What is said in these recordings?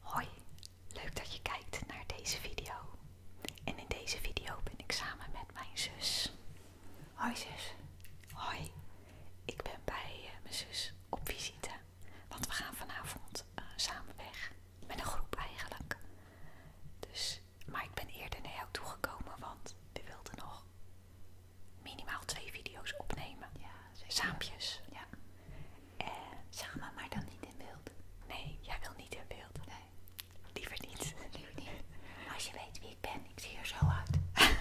Hoi, leuk dat je kijkt naar deze video. En in deze video ben ik samen met mijn zus. Hoi zus. Hoi, ik ben bij eh, mijn zus op visite. Want we gaan vanavond eh, samen weg. Met een groep eigenlijk. Dus, maar ik ben eerder naar jou toegekomen, want we wilden nog minimaal twee video's opnemen. Ja, Ja. Eh, zeg maar, maar dan niet in beeld. Nee, jij wil niet in beeld. Nee. Liever niet. Liever niet. Als je weet wie ik ben, ik zie je zo uit.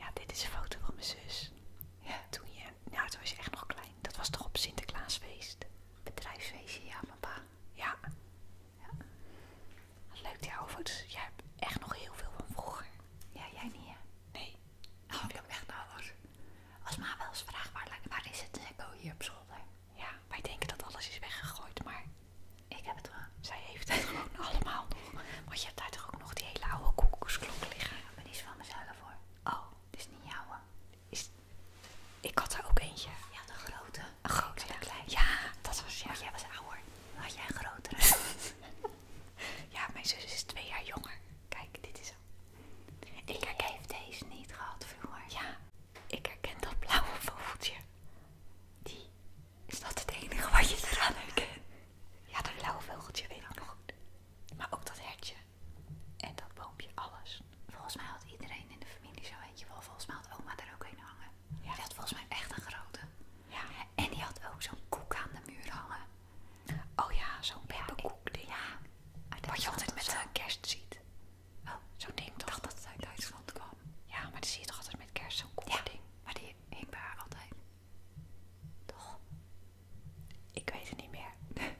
ja, dit is een foto van mijn zus. Ja. Toen je, nou toen was je echt nog klein. Dat was toch op Sinterklaasfeest? Bedrijfsfeestje, ja, papa. Ja. ja. Leuk die oude foto's. Jij hebt echt nog heel veel van vroeger. Ja, jij niet hè? Nee. Oh, ik weg echt nodig. Als ma wel eens vraagt waar, is het, dan oh, hier op zolder. Ja, wij denken dat alles is weggegooid, maar ik heb het wel. Zij heeft het gewoon allemaal nog. Want je hebt daar toch ook nog die hele oude koekoeksklok liggen. Ja, maar die is van mezelf voor. Oh, dit is niet jouwe. Is... Ik had er ook eentje. Ja, de grote. Een grote, ja. Klein. Ja, dat was ja. jij was ouder. had jij een grotere. ja, mijn zus is twee jaar jonger. Kijk, dit is hem. Ik herken... deze niet gehad vroeger. Ja, ik herken dat blauwe vogeltje. Die? Is dat het enige wat je er aan herkent? Ja, dat blauwe vogeltje weet ik nog goed. Maar ook dat hertje. En dat boompje, alles. Volgens mij had iedereen in de familie zo weet je, wel. Volgens mij had oma daar ook een hangen. Ja. Die had volgens mij echt een grote. Ja. En die had ook zo'n koek aan de muur hangen. Oh ja, zo'n pepperkoekding. Ja, ah, Wat je altijd met zo'n eh, kerst ziet. Oh, zo'n ding toch? dacht dat het uit Duitsland kwam. Ja, maar die zie je toch altijd met kerst, zo'n koekding. ding. maar die hing bij haar altijd. Toch? Ik weet het niet meer.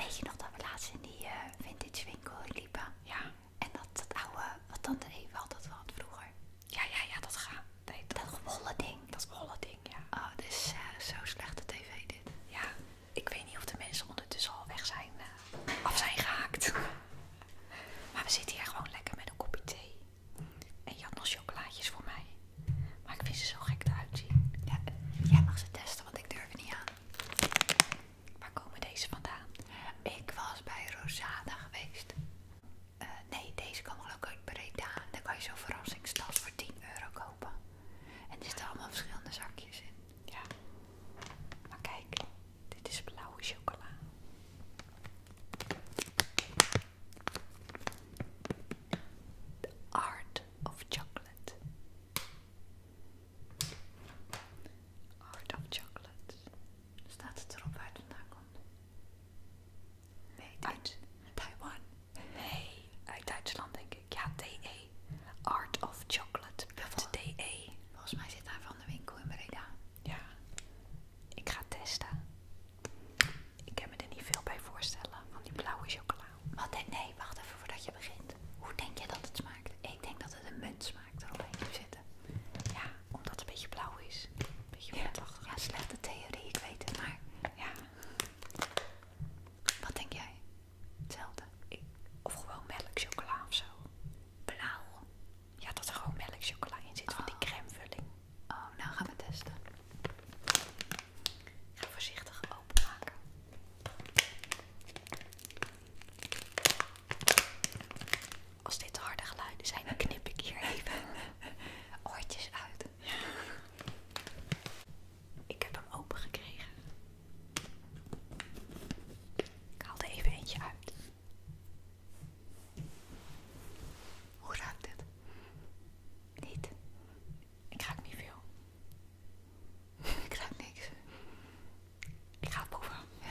weet je nog dat we laatst in die eh, vintage winkel liepen? Ja. En dat, dat oude, wat tante even altijd had vroeger. Ja, ja, ja, dat gaat. dat, dat ding. Dat holle ding, ja. Oh, dit is zo eh, zo slechte tv dit. Ja, ik weet niet of de mensen ondertussen al weg zijn, eh, af zijn gehaakt. Maar we zitten hier gewoon lekker met een kopje thee. En je had nog chocolaatjes voor mij. Maar ik vind ze zo gek eruit zien. Ja, eh, jij mag ze testen, want ik durf het niet aan. Waar komen deze vandaan? Ik was bij Rosada geweest. Eh, nee, deze kan ook leuk Breda. Dan kan je zo'n verrassingstas voor 10 euro kopen. En er zitten allemaal verschillende zakjes in. Ja. Maar kijk, dit is blauwe chocola. The Art of Chocolate. Art of Chocolate. Staat het erop waar het vandaan komt? Nee, uit Taiwan. Nee, uit Duitsland denk ik. Ja, DE. Art of Chocolate. DE. Volgens mij zit daar van de winkel in Breda. Ja. Ik ga testen. Ik kan me er niet veel bij voorstellen van die blauwe chocola. Wat nee, wacht even voordat je begint. Hoe denk je dat het smaakt? Ik denk dat het een munt smaakt eromheen zitten. Ja, omdat het een beetje blauw is. Een beetje ja, ja, slechte theorie, ik weet het, maar ja. Wat denk jij? Hetzelfde. of gewoon melk chocola of zo. Blauw. Ja, dat er gewoon melk in zit van die oh. crèmevulling. Oh, nou gaan we testen. ga voorzichtig openmaken als dit harde geluiden zijn, knip ik hier even oortjes uit. Ik heb hem open gekregen. Ik haal er even eentje uit. Hoe ruikt dit? Niet. Ik raak niet veel. ik ruik niks. Ik ga het proeven. Ja.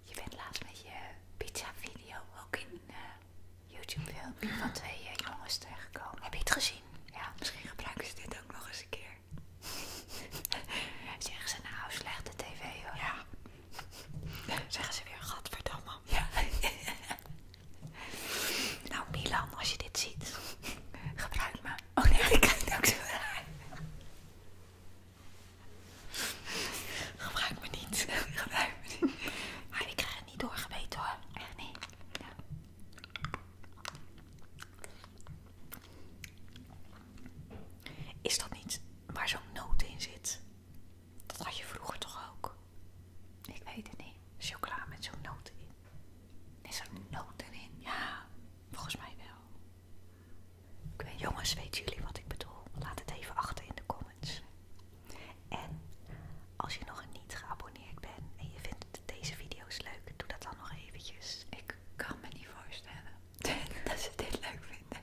Je bent laatst met je pizza-video ook in eh, youtube veel van twee eh, jongens terechtgekomen. Heb je het gezien? Ja, misschien gebruiken ze dit ook nog eens een keer. Zeggen ze nou slechte tv hoor. Ja. Zeggen ze weer godverdomme. Ja. nou Milan, als je dit ziet, gebruik me. Oh nee, ik kijk ook zo raar. Gebruik me niet. Gebruik me niet. ik krijg het niet doorgeweten hoor. Echt niet. Ja. Is dat niet waar zo'n noot in zit? Dat had je vroeger toch ook? Ik weet het niet. Chocola met zo'n noot in. Is er een noot erin? Ja, volgens mij wel. Ik weet, jongens, weten jullie wat ik bedoel? Laat het even achter in de comments. En als je nog niet geabonneerd bent en je vindt deze video's leuk, doe dat dan nog eventjes. Ik kan me niet voorstellen dat ze dit leuk vinden.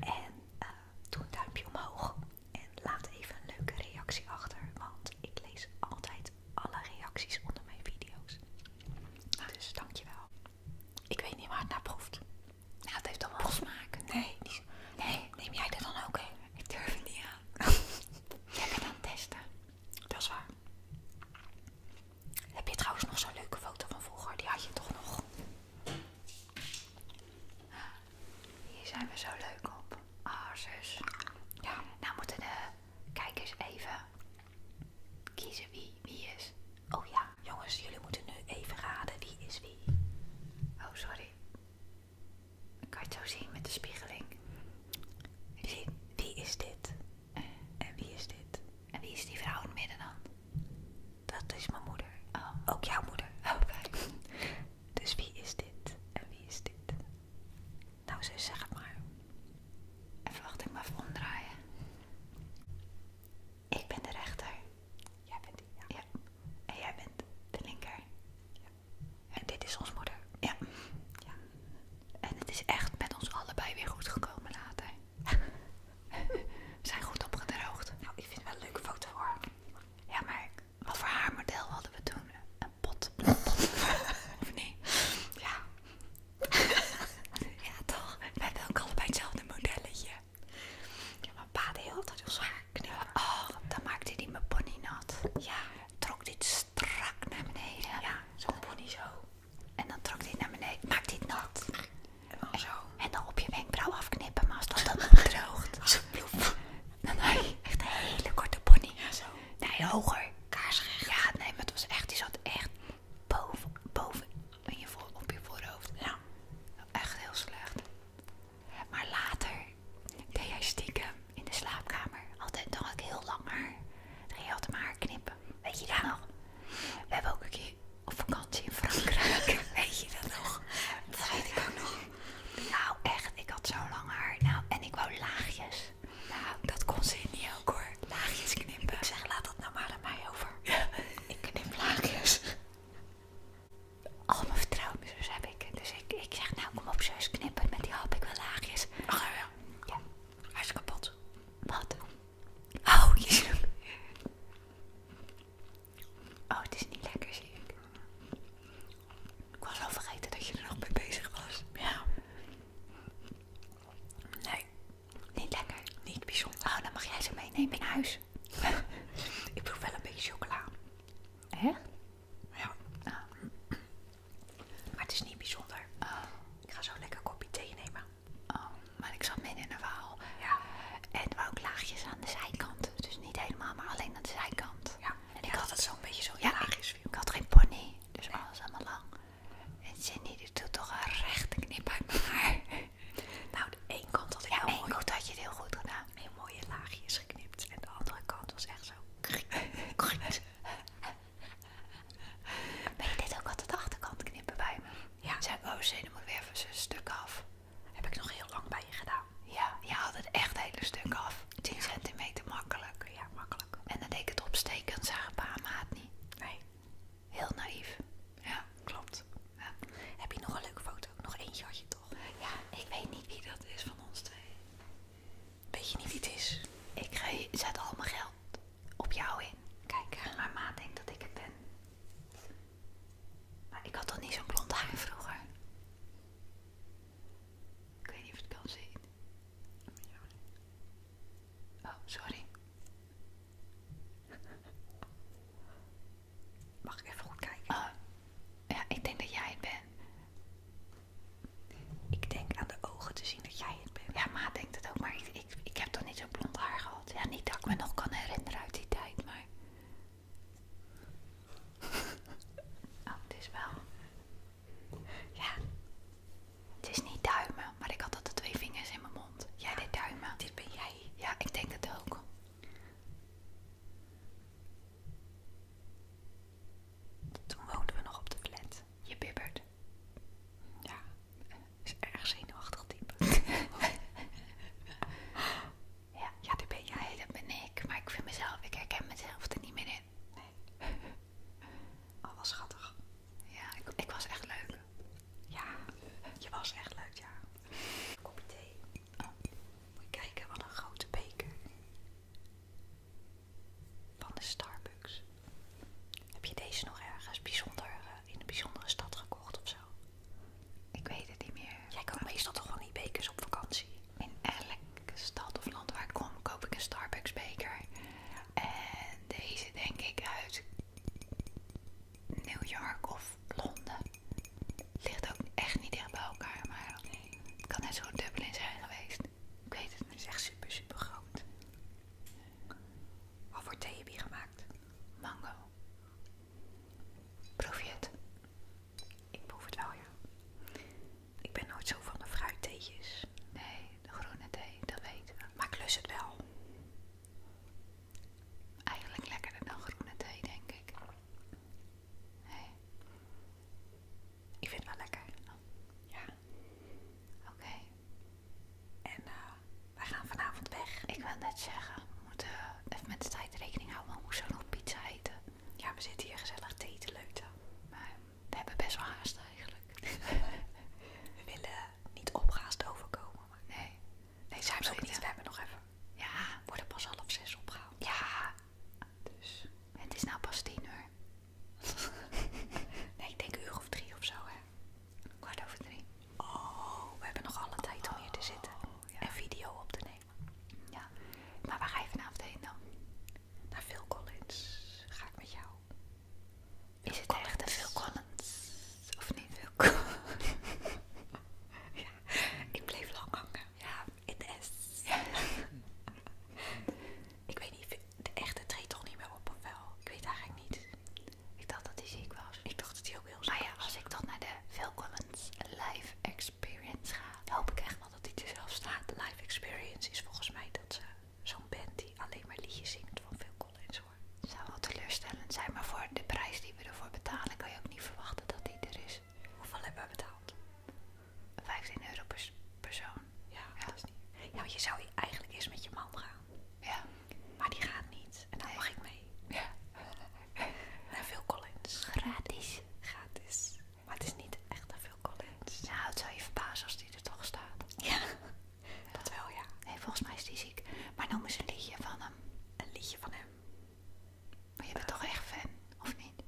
En eh, doe een duimpje omhoog en laat even een leuke reactie achter, want ik lees altijd alle reacties onder mijn video's. Ah. Dus dankjewel. Ik weet niet waar het naar proeft. Nou, het heeft dan wel smaak. Nee, nee, neem jij dat dan ook in. Ik durf het niet aan. Lekker dan testen. Dat is waar. Heb je trouwens nog zo'n leuke foto van vroeger? Die had je toch nog? Hier zijn we zo leuk op. Ah, Ja. Nou moeten de kijkers even kiezen wie wie is. Oh ja, jongens, jullie moeten nu even raden wie is wie. Oh, sorry. Ik kan het zo zien met de spiegeling. Wie, wie is dit? En wie is dit? En wie is die vrouw in het midden dan? Dat is mijn moeder. Oh, ook jouw moeder. Oké. Oh, dus wie is dit? En wie is dit? Nou, zo, zeg maar. En wacht, ik maar voor omdraaien. Ik ben de rechter. Jij bent die, ja. En jij bent de linker. Ja. En dit is ons moeder. Ja. En het is echt met ons allebei weer goed gekomen later. We zijn goed opgedroogd. Nou, ik vind het wel een leuke foto voor. Ja, maar wat voor haar model hadden we toen? Een pot. Een pot. of nee? Ja. ja, toch? wij hebben ook allebei hetzelfde modelletje. Ik heb pa had heel altijd knippen. Oh, dan maakte hij mijn pony nat. Ja. Trok dit strak naar beneden. Ja, zo'n pony zo. En dan trok dit naar beneden. Maakt dit nat. En dan zo. En dan op je wenkbrauw afknippen, maar als dat dan droogt. Als een echt een hele korte pony. zo. Nee, hoger. Kaarsrecht. Ja, nee, maar het was echt, die zat echt boven, boven in je voor, op je voorhoofd. Nou, echt heel slecht. Maar later deed jij stiekem in de slaapkamer. Altijd nog heel lang haar. Dan ging je altijd maar haar knippen. Weet je dat nog? We hebben ook een keer op vakantie in Frankrijk. Weet je dat nog? Dat weet ik ook nog. Nou echt, ik had zo lang haar. Nou, en ik wou laagjes. Nou, dat kon ze niet ook hoor. Laagjes knippen. Ik zeg, laat dat nou maar aan mij over. Ja. Ik knip laagjes. Al mijn vertrouwen zo heb ik. Dus ik, ik zeg, nou kom op zus, knippen. Met die hap ik wel laagjes. Ach ja. Ja. Hij is kapot. Wat? Oh, je Oh, het is niet lekker, zie ik. Ik was al vergeten dat je er nog mee bezig was. Ja. Nee, niet lekker? Niet bijzonder. Oh, dan mag jij ze meenemen in huis. ik proef wel een beetje chocola. Echt? Ja. Ah. Maar het is niet bijzonder. Oh. Ik ga zo lekker een kopje thee nemen. Oh, maar ik zat midden in een waal. Ja. En wou ook laagjes aan de zijkant. Dus niet helemaal, maar alleen aan de zijkant. Ja. En ik had het zo'n beetje zo ja, laagjes. Ik, ik had geen pony, dus alles alles allemaal lang. En Cindy die doet toch een rechte knippen. Nou, de ene kant had heel goed, had je heel goed gedaan. Heel mooie laagjes geknipt. En de andere kant was echt zo... Ben je dit ook altijd de achterkant knippen bij me? Ja. Zijn oh zin, moet weer even een stuk af. Heb ik nog heel lang bij je gedaan. Ja, je had het echt hele stuk af. 10 centimeter makkelijk. Ja, makkelijk. En dan deed ik het opsteken en zagen pa en maat niet. Nee. Heel naïef. Ja, klopt. Heb je nog een leuke foto? Nog eentje had je toch? Ja, ik weet niet wie dat is van ons twee. Weet je niet wie het is? Ik zet al mijn geld op jou in. Kijk, maar ma denkt dat ik het ben. Maar ik had toch niet zo'n blond haar vroeger? Ik weet niet of het kan zien. Oh, sorry. Mag ik even goed kijken? Oh, ja, ik denk dat jij het bent. Ik denk aan de ogen te zien dat jij het bent. Ja, maar denkt het ook. Maar ik, ik, ik heb toch niet zo blond haar gehad. Ja, niet dat ik me nog kan herinneren uit die tijd, maar... oh, het is wel... Ja. Het is niet duimen, maar ik had altijd twee vingers in mijn mond. Jij dit deed duimen. Dit ben jij. Ja, ik denk het ook. Toen woonden we nog op de flat. Je bibbert. Ja, is erg zenuwachtig type. ja. ja, dit ben jij, dat ben ik. Maar ik vind mezelf, ik herken mezelf er niet meer in nee, Al was schattig. Ja, ik, was echt leuk. Ja, je was echt leuk, ja. Kopje thee. Oh, moet je kijken, wat een grote beker. Van de Starbucks. Heb je deze nog ergens bijzonder, eh, in een bijzondere stad gekocht of zo? Ik weet het niet meer. Jij koopt meestal toch gewoon die bekers op vakantie? In elke stad of land waar ik kom, koop ik een Starbucks beker. En deze denk ik uit New York of Londen. Ligt ook echt niet dicht bij elkaar, maar het kan net zo'n Dublin zijn geweest. Ik weet het, het is echt super, super groot. Wat wordt thee heb gemaakt? Mango. Proef je het? Ik proef het wel, ja. Ik ben nooit zo van de fruittheetjes. Nee, de groene thee, dat weten we. Maar klus het wel. Eigenlijk lekkerder dan groene thee, denk ik. Nee. Ik vind het wel lekker. Ja. Oké. En eh, wij gaan vanavond weg. Ik wil net zeggen, we moeten even met de tijd rekening houden. We moeten zo nog pizza eten. Ja, we zitten hier gezellig thee te leuten. Maar we hebben best wel haast eigenlijk. we willen niet opgehaast overkomen. nee. Nee, zijn we ook niet. We hebben nog even. Ja. We worden pas half zes opgehaald. Ja. Dus. Het is nou pas tien uur. nee, ik denk uur of drie of zo, hè. Kwart over drie. Oh, we hebben nog alle tijd om hier te oh, zitten. En video op te nemen. Ja. Maar waar ga je vanavond heen dan? naar Phil Collins ga ik met jou. Is het echt een Phil Collins? Of niet Phil ja, ik bleef lang hangen. Ja, in de S. ik weet niet, de echte treedt toch niet meer op of wel? Ik weet eigenlijk niet. Ik dacht dat hij ziek was. Ik dacht dat hij ook heel ziek was. Maar ja, als ik toch naar de Phil Collins live experience ga, hoop ik echt wel dat hij er staat de Live experience is volgens mij dat ze zo'n band die alleen maar liedjes zingt van Phil Collins hoor. Het zou wel teleurstellend zijn, maar voor de prijs die we ervoor betalen kan je ook niet verwachten dat die er is. Hoeveel hebben we betaald? 15 euro per persoon. Ja, dat is niet. Ja, want je zou eigenlijk eerst met je man gaan. Ja. Maar die gaat niet. En dan mag ik mee. Ja. Naar Phil Collins. Gratis. Gratis. Maar het is niet echt veel Collins. Nou, het zou je verbazen als die er toch staat. Ja, dat wel ja. Nee, volgens mij is die ziek. Maar noem eens een liedje van hem. Een liedje van hem. Maar je bent toch echt fan, of niet?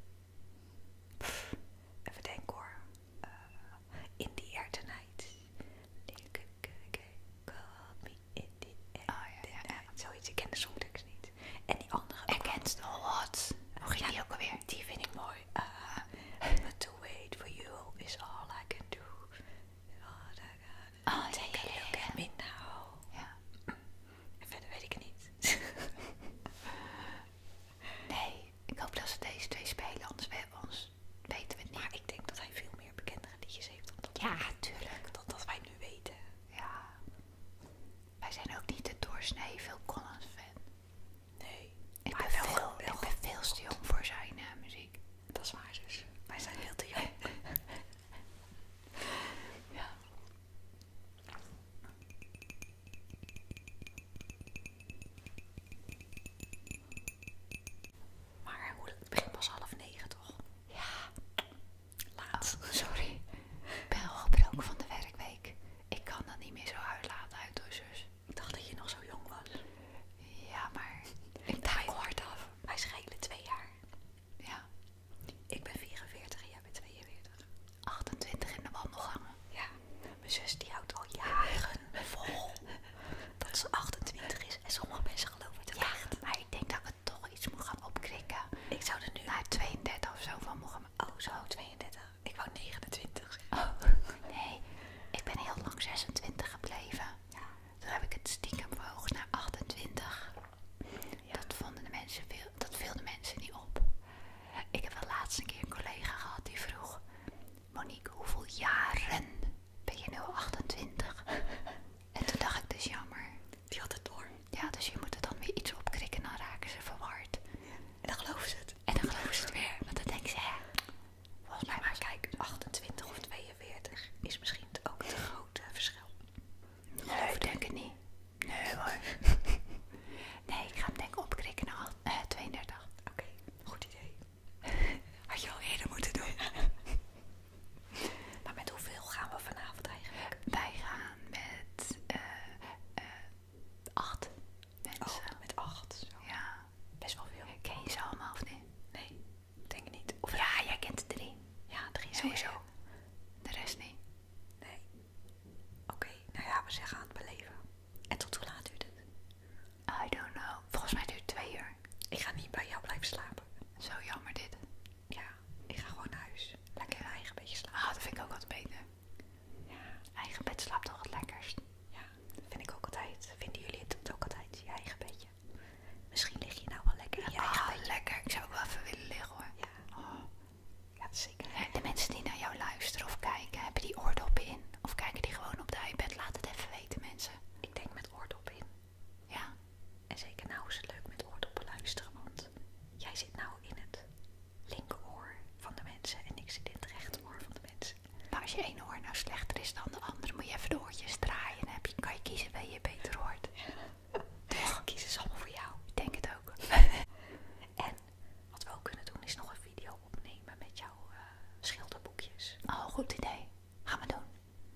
even denken hoor. Eh, in the air tonight. Call me in the air oh, ja, ja, Zoiets, ik ken de songtekst niet. En die andere... Against the odds. Hoe ging dat ook alweer? die vind ik mooi. Uh, eh, but to wait for you is all I can do. Oh I can oh, take yeah, a look at Ja. En verder weet ik niet. nee, ik hoop dat ze deze twee spelen, anders ons, weten we niet. Maar ik denk dat hij veel meer bekendere liedjes heeft dan ja, tuurlijk. dan dat wij nu weten. Ja, wij zijn ook niet de doorsnee veel Collins fan. Nee. Ik, ben, veel, veel te jong voor zijn eh, muziek. Dat is waar dus. Wij zijn heel te jong. ja. Maar eh, hoe, het begint pas half negen toch? Ja. Laat. Oh, sorry. Ik ben al gebroken van de werkweek. Ik kan dat niet meer zo uitlaten uit door ik dacht dat je nog zo jong was. Ja, maar ik draai hard af. Wij schelen twee jaar. Ja. Ik ben 44 en jij bent 42. 28 in de wandelgangen. Ja. Mijn zus die houdt al jaren vol dat ze 28 is. En sommige mensen geloven het te echt. maar ik denk dat we toch iets moet gaan opkrikken. Ik zou er nu... Naar 32 of zo van mogen Oh, zo 32. Ik wou 29. nee. Ik ben heel lang 26 gebleven. Toen heb ik het stiekem verhoogd naar 28. Dat vonden de mensen dat de mensen niet op. Ik heb wel laatst een keer een collega gehad die vroeg: Monique, hoeveel jaren ben je nu 28? en toen dacht ik dus jammer. Die had het door. Ja, dus je moet er dan weer iets opkrikken. krikken, dan raken ze verward. En dan geloven ze het. En dan geloof ik het weer, want dan denk ze, hè, volgens mij maar kijk, 28 of 42 is misschien ook het grote eh, verschil. Nee, denk het niet. Nee hoor. nee, ik ga hem denk opkrikken naar 32. Eh, Oké, goed idee. Had je al eerder moeten doen. maar met hoeveel gaan we vanavond eigenlijk? Wij gaan met eh, acht mensen. Oh, met acht? Zo. Ja. Best wel veel. Ken je ze allemaal of nee? Nee, denk ik niet. Of ja, jij kent drie. Ja, drie sowieso. De rest niet. Nee. Oké, nou ja, we zeggen aan het beleven. En tot hoe laat duurt het? I don't know. Volgens mij duurt het twee uur. Ik ga niet bij jou blijven slapen. Zo jammer dit. Ja, ik ga gewoon naar huis. Lekker mijn eigen beetje slapen. Ah, dat vind ik ook wat beter. Eigen bed slaapt toch het lekkerst. Ja, vind ik ook altijd. Vinden jullie het ook altijd? Je eigen bedje. Misschien lig je nou wel lekker in je ah, eigen bedje. lekker. Ik zou ook wel even willen liggen hoor. Ja, oh. ja zeker. De mensen die naar jou luisteren of kijken, hebben die oordoppen in? Of kijken die gewoon op de iPad? Laat het even weten mensen. Ik denk met oordop in. Ja. En zeker nou is het leuk met oordoppen luisteren, want jij zit nou in het linkeroor van de mensen en ik zit in het rechteroor van de mensen. Maar als je één oor nou slechter is dan de andere, moet je even de oortjes draaien. Dan kan je kiezen waar je beter hoort. Dus ja. Kies is allemaal voor jou. Ik denk het ook. en wat we ook kunnen doen is nog een video opnemen met jouw eh, schilderboekjes. Oh, goed idee. Gaan we doen.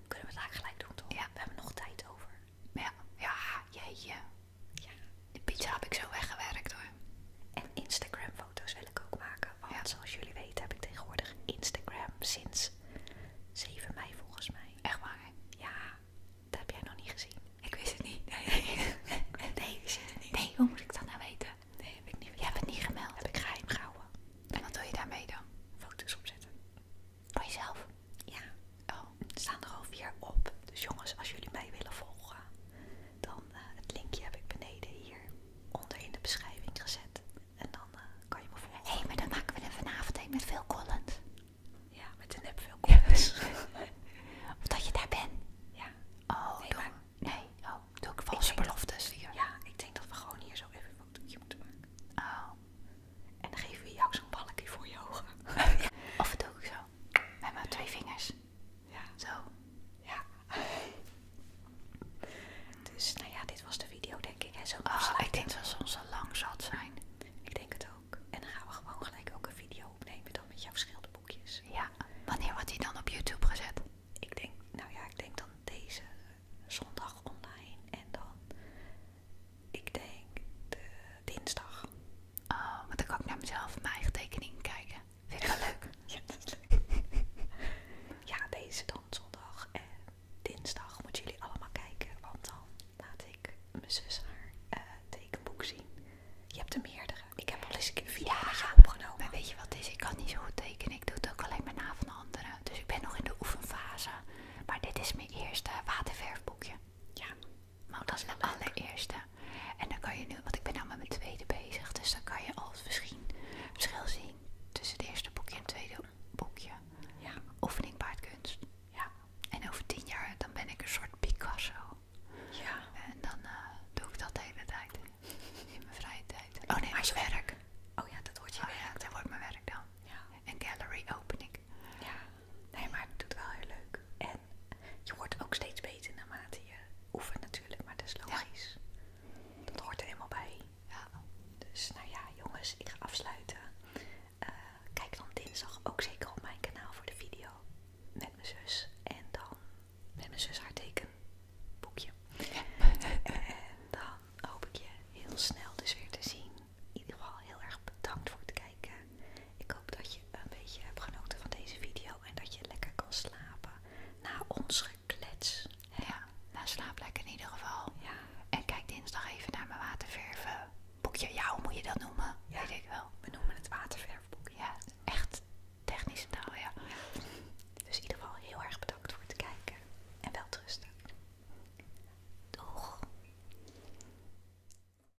Kunnen we het eigenlijk gelijk doen toch? Ja. We hebben nog tijd over. Ja, ja jeetje. Ja, de pizza heb ik zo weggewerkt hoor. En Instagram foto's wil ik ook maken. Want zoals jullie weten heb ik tegenwoordig Instagram sinds 7 mei volgens mij. Echt waar Ja, dat heb jij nog niet gezien. Ik wist het niet. Nee, nee, nee, het niet. nee hoe moet ik dat nou weten? Nee, heb ik niet Jij hebt het niet gemeld. Heb ik geheim gehouden. En wat wil je daarmee dan? Foto's opzetten. Voor jezelf? Ja. Oh, staan er al vier op. Dus jongens, als jullie mij willen volgen, dan eh, het linkje heb ik beneden hier onder in de beschrijving gezet. En dan eh, kan je me volgen. Hé, maar dan maken we er vanavond een met veel Collins. Ja, met een nep veel Collins. of dat je daar bent. Ja. Oh, nee, Oh, Oh, doe ik valse ik beloftes hier. Ja, ik denk dat we gewoon hier zo even een fotootje moeten maken. Oh. En dan geven we jou zo'n balkje voor je ogen. Of doe ik zo. Met mijn twee vingers. Ja. Zo. Ja. dus nou ja, dit was de video denk ik. en Zo oh, ah, ik denk dat ze ons al lang zal zijn. Ik denk het ook. En dan gaan we gewoon gelijk ook een video opnemen dan met jouw schilderboekjes. Ja. Wanneer wordt die dan op YouTube gezet? Ik denk, nou ja, ik denk dan deze zondag online en dan, ik denk de dinsdag. Oh, want dan kan ik naar mezelf mijn eigen tekeningen kijken. Vind ik wel leuk. Ja, dat is leuk. ja, deze dan zondag en dinsdag moeten jullie allemaal kijken. Want dan laat ik mijn zus haar eh, tekenboek zien. Je hebt er meerdere. Ik heb al eens een keer video opgenomen. En weet je wat is? Ik kan niet zo goed tekenen. Ik doe het ook alleen maar na van anderen. Dus ik ben nog in de oefenfase. Maar dit is mijn eerste waterverfboekje. Ja, maar dat is de allereerste. En dan kan je nu, want ik ben nou met mijn tweede bezig, dus dan kan je al verschil, zien tussen het eerste boekje en het tweede boekje. Ja. Oefening paardkunst. Ja. En over tien jaar dan ben ik een soort Picasso. Ja. En dan eh, doe ik dat de hele tijd. In mijn vrije tijd. Oh nee, mijn werk. Oh ja, dat wordt je oh, Ja, dat wordt mijn werk dan. Ja. En gallery opening Ja nee, maar het doet wel heel leuk. En je wordt ook steeds beter naarmate je oefent natuurlijk, maar dat is logisch. Dat hoort er helemaal bij. Ja. Dus nou ja, jongens, ik ga afsluiten. Eh, kijk dan dinsdag ook zeker op mijn kanaal voor de video met mijn zus. En dan met mijn zus haar tekenboekje. en dan hoop ik je heel snel dus weer te zien. In ieder geval heel erg bedankt voor het kijken. Ik hoop dat je een beetje hebt genoten van deze video en dat je lekker kan slapen na ons geklets. Ja, na nou, slaap lekker in ieder geval. En kijk dinsdag even naar mijn watervervenboekje. boekje. Jou moet je dat noemen? Ja. Weet ik wel. We noemen het waterverfboekje. Ja, echt technische taal, ja. Dus in ieder geval heel erg bedankt voor het kijken en wel rusten. Doeg!